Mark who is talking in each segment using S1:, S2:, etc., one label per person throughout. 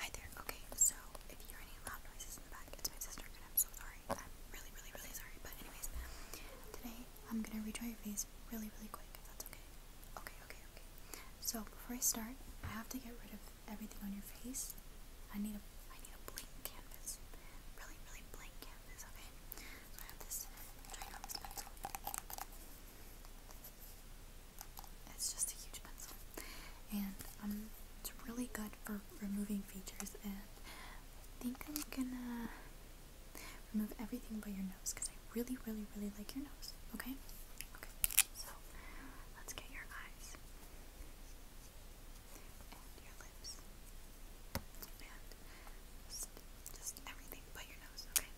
S1: Hi there. Okay, so if you hear any loud noises in the back, it's my sister, and I'm so sorry. I'm really, really, really sorry. But anyways, today I'm gonna redraw your face really, really quick. If that's okay. Okay, okay, okay. So before I start, I have to get rid of everything on your face. I need a, I need a blank canvas. Really, really blank canvas. Okay. I have this ginormous pencil. It's just a huge pencil, and um, it's really good for removing features. And I think I'm gonna remove everything but your nose because I really, really, really like your nose. Okay, okay. So let's get your eyes and your lips and just, just everything but your nose. Okay.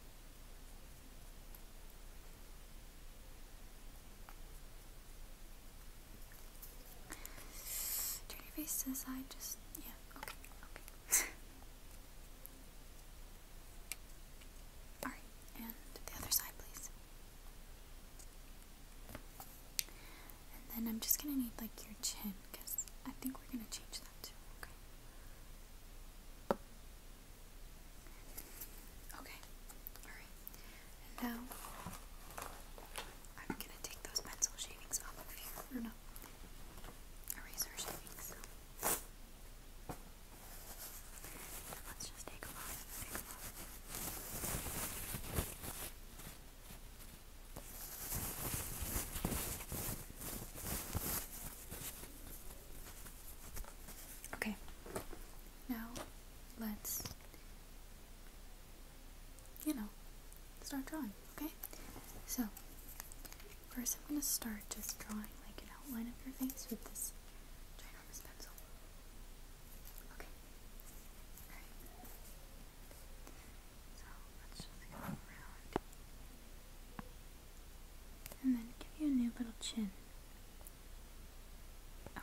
S1: Turn your face to the side, just, yeah, okay, okay. Alright, and the other side, please. And then I'm just gonna need, like, your chin, I think we're gonna change that too, okay? Okay, alright. now I'm gonna take those pencil shavings off here. Eraser shavings. let's just take them off. Okay, now let's, you know, start drawing, okay? So, first I'm going to start just drawing like an outline of your face with this ginormous pencil. Okay, alright. So, let's just around and then give you a new little chin.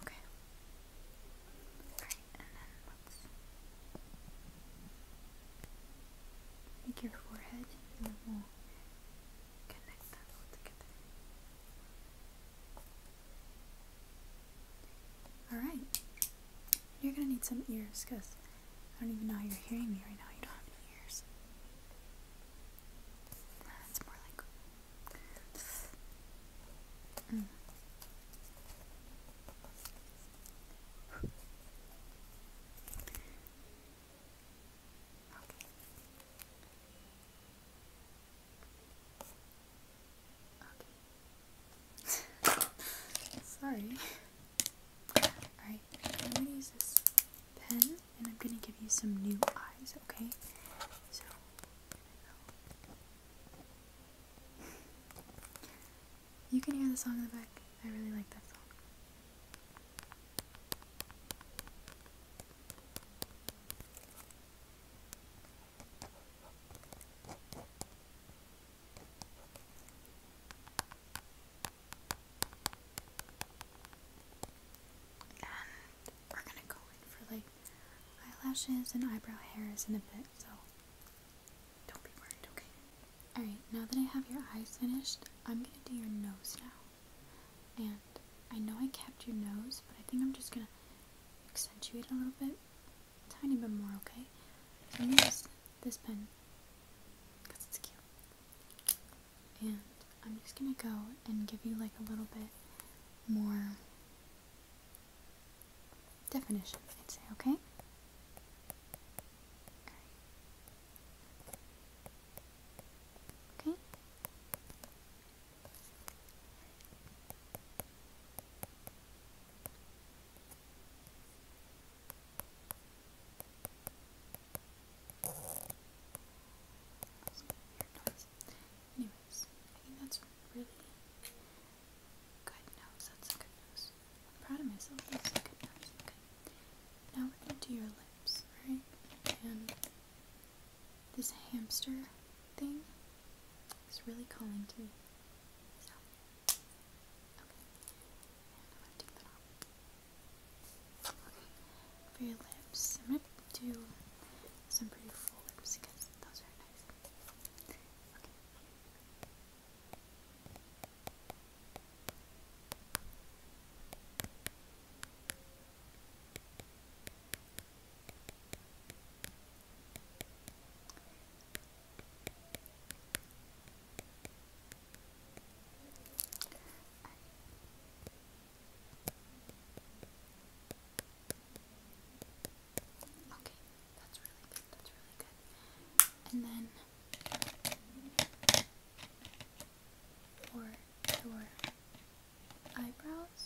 S1: Okay. Alright, and then make your forehead and we'll connect that all together. Alright. You're gonna need some ears because I don't even know how you're hearing me right now. You don't have any ears. That's more like Mm. Okay. Sorry. Alright, I'm gonna use this pen and I'm gonna give you some new eyes, okay? So you can hear the song in the back. I really like that song. And we're gonna go in for like eyelashes and eyebrow hairs in a bit, so don't be worried, okay? Alright, now that I have your eyes finished, I'm gonna do your nose now. And I know I kept your nose, but I think I'm just gonna accentuate a little bit, tiny bit more, okay? So I'm gonna use this pen because it's cute. And I'm just gonna go and give you like a little bit more definition, I'd say, okay? okay. Okay? Anyways, I think that's really good nose. That's good nose. I'm proud of myself. That's good nose. Okay. Now we're gonna do your lips, right? And this hamster thing is really calling to me. So okay. I'm gonna take that off. Okay for your lips. I'm gonna do some pretty full lips because those are nice. Okay. Okay, that's really good. That's really good. And then for your eyebrows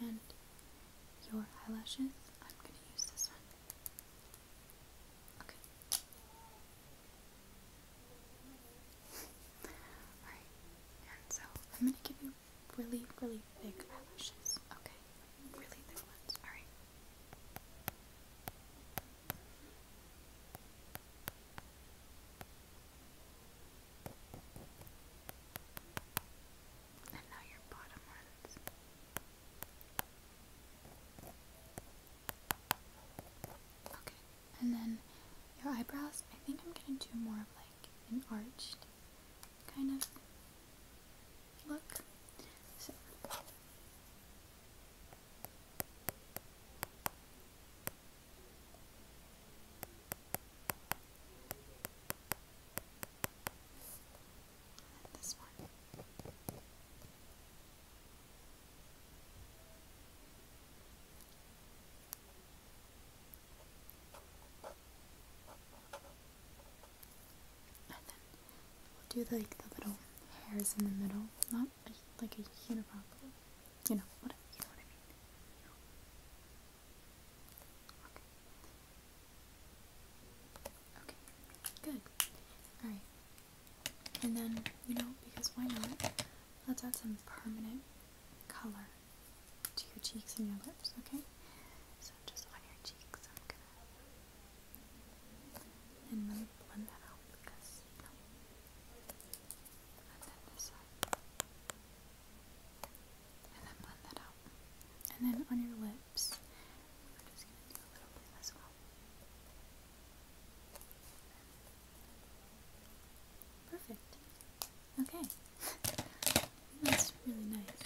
S1: and your eyelashes, I'm going to use this one. Okay. Alright, and so I'm going to give you really, really big eyelashes. Okay, really thick ones. All right. And now your bottom ones. Okay, and then your eyebrows. I think I'm gonna do more of like an arched kind of look. So this one. And then we'll do like the little hairs in the middle, not like a unibrow, you know, whatever, you know what I mean. Okay. Okay. Good. Alright. And then, you know, because why not? Let's add some permanent color to your cheeks and your lips, okay? So just on your cheeks, I'm gonna and let blend that out And then this side. And then blend that out. And then on your lips, we're just gonna do a little bit as well. Perfect. Okay. That's really nice.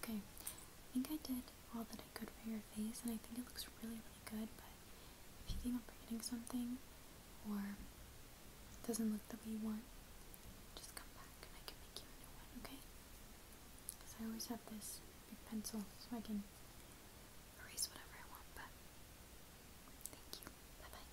S1: Okay. I think I did all that I could for your face and I think it looks really, really good, but if you think I'm forgetting something or it doesn't look the way you want, just come back and I can make you a new one, okay? Because I always have this big pencil so I can erase whatever I want, but thank you. Bye-bye.